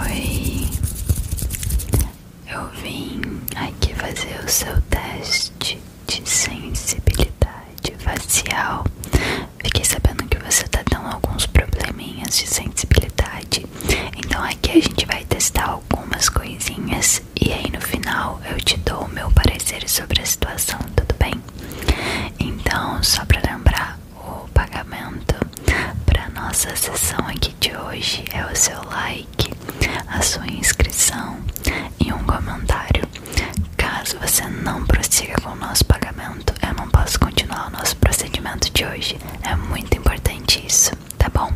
Oi, eu vim aqui fazer o seu teste de sensibilidade facial. Fiquei sabendo que você tá dando alguns probleminhas de sensibilidade, então aqui a gente vai testar algumas coisinhas e aí no final eu te dou o meu parecer sobre a situação, tudo bem? Então, só pra lembrar, o pagamento para nossa sessão aqui de hoje é o seu like, a sua inscrição e um comentário. Caso você não prossiga com o nosso pagamento, eu não posso continuar o nosso procedimento de hoje. É muito importante isso, tá bom?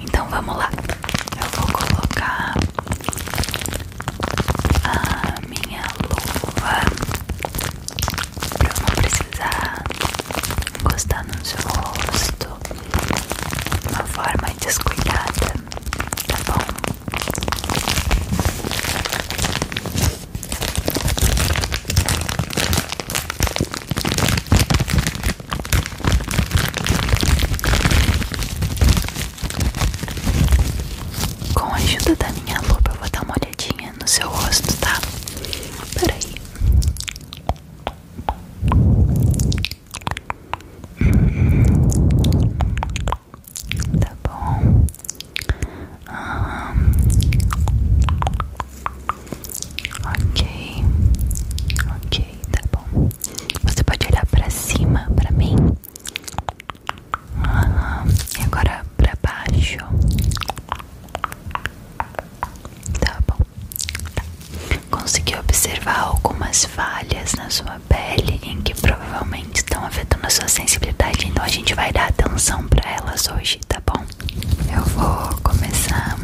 Então vamos lá. Eu vou colocar a minha luva pra não precisar encostar no seu rosto de uma forma descuidada, tá bom? Com a ajuda da minha lupa vou dar uma olhadinha no seu rosto, tá? Peraí. Hum, tá bom. Uhum. Ok. Ok, tá bom. Você pode olhar pra cima pra mim. Uhum. E agora pra baixo. Tá bom. Tá. observar algumas falhas na sua pele em que provavelmente estão afetando a sua sensibilidade, então a gente vai dar atenção para elas hoje, tá bom? Eu vou começar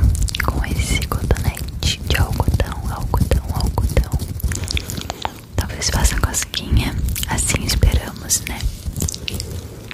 com esse cotonete de algodão, algodão, algodão. Talvez faça cosquinha, assim esperamos, né?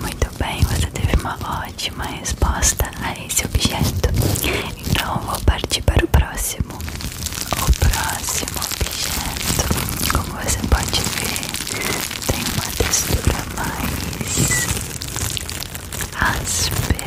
Muito bem, você teve uma ótima resposta a esse objeto. Então vou partir para o próximo. O próximo objeto, como você pode ver, tem uma textura mais áspera.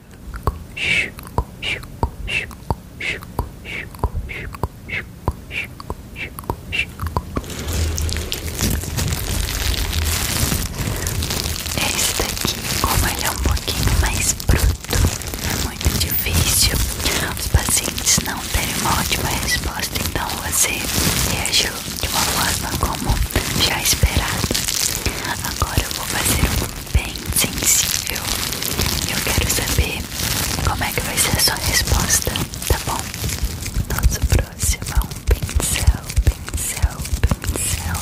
Esse daqui, como ele é um pouquinho mais bruto, é muito difícil os pacientes não terem uma ótima resposta, então você reagiu de uma forma como já esperado. Agora eu vou fazer um bem sensível. Eu quero saber como é que vai ser a sua resposta, tá bom? Nosso próximo é um pincel, pincel, pincel.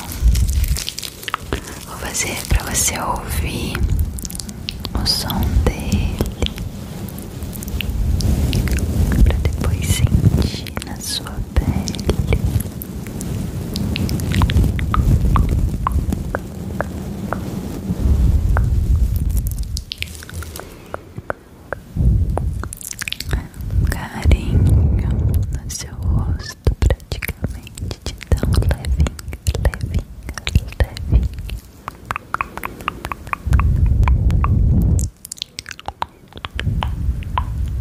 Vou fazer para você ouvir o som dele. Pra depois sentir na sua pele Carinho no seu rosto, praticamente te dá um levinho, levinho, levinho.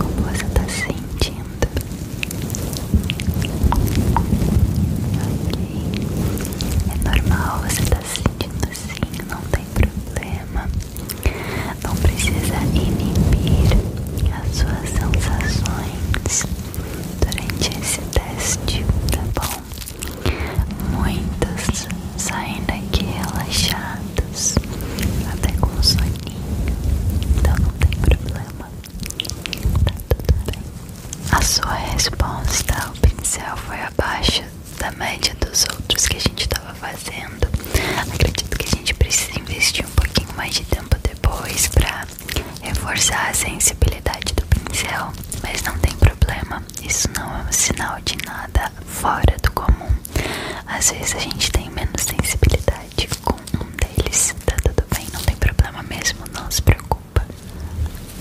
Como você está sentindo? é normal você tá se sentindo assim, não tem problema. Não precisa inibir as suas sensações durante esse teste, tá bom? Muitas saem daqui relaxadas, até com soninho, então não tem problema, tá tudo bem. A sua resposta ao pincel foi abaixo da média dos outros que a gente estava fazendo. Acredito que a gente precisa investir um pouquinho mais de tempo depois para reforçar a sensibilidade do pincel, mas não tem problema. Isso não é um sinal de nada fora do comum. Às vezes a gente tem menos sensibilidade com um deles, tá tudo bem, não tem problema mesmo, não se preocupa.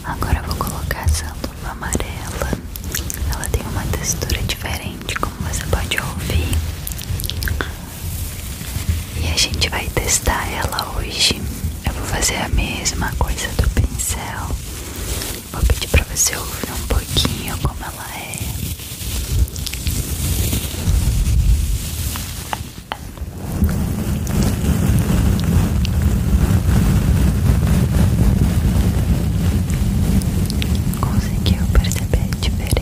Agora eu vou colocar essa luva amarela. Ela tem uma textura diferente gente, como você pode ouvir. E a gente vai testar ela hoje. Eu vou fazer a mesma coisa do pincel. Vou pedir pra você ouvir um pouquinho como ela é. Conseguiu perceber a diferença?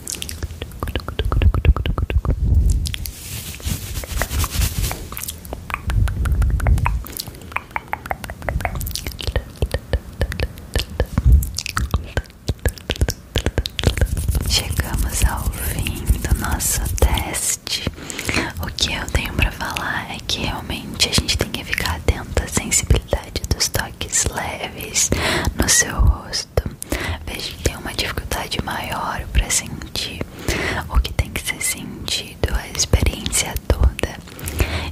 Chegamos ao fim do nosso teste. O que eu tenho para falar é que realmente a gente tem que ficar atento à sensibilidade dos toques leves no seu rosto. Vejo que tem uma dificuldade maior para sentir o que tem que ser sentido, a experiência toda.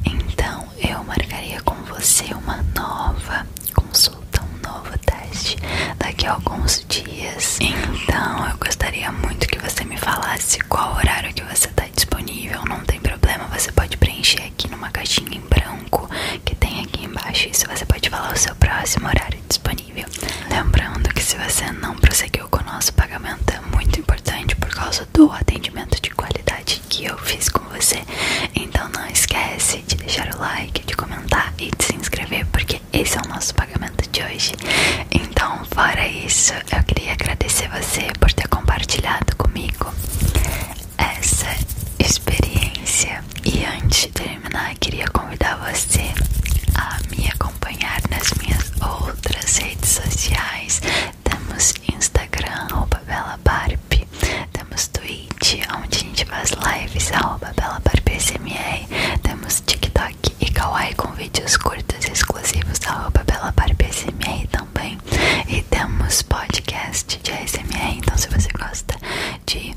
Então eu marcaria com você uma nova consulta, um novo teste daqui a alguns dias. Então eu gostaria muito que você me falasse qual horário que você está disponível. Não tem problema, você pode preencher aqui numa caixinha em branco que tem aqui embaixo. Isso você pode falar o seu próximo horário disponível. Lembrando que se você não prosseguiu com o nosso pagamento, é muito importante por causa do atendimento de qualidade que eu fiz com você. Então não esquece de deixar o like, de comentar e de se inscrever, porque esse é o nosso pagamento de hoje. Então, fora isso, eu queria agradecer você por ter compartilhado comigo essa experiência. E antes de terminar, queria convidar você a me acompanhar nas minhas outras redes sociais. Temos Instagram, arroba BelaBarb. Temos Twitch, onde a gente faz lives, arroba BelaBarbSMR. Temos TikTok e Kawaii com vídeos curtos e exclusivos, arroba BelaBarbSMR também. E temos podcast de ASMR, então se você gosta de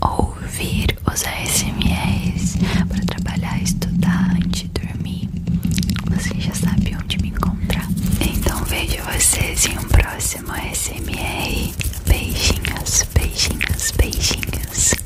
ouvir os ASMRs para trabalhar, estudar, antes de dormir, você já sabe onde me encontrar. Então vejo vocês em um próximo ASMR. Beijinhos, beijinhos, beijinhos.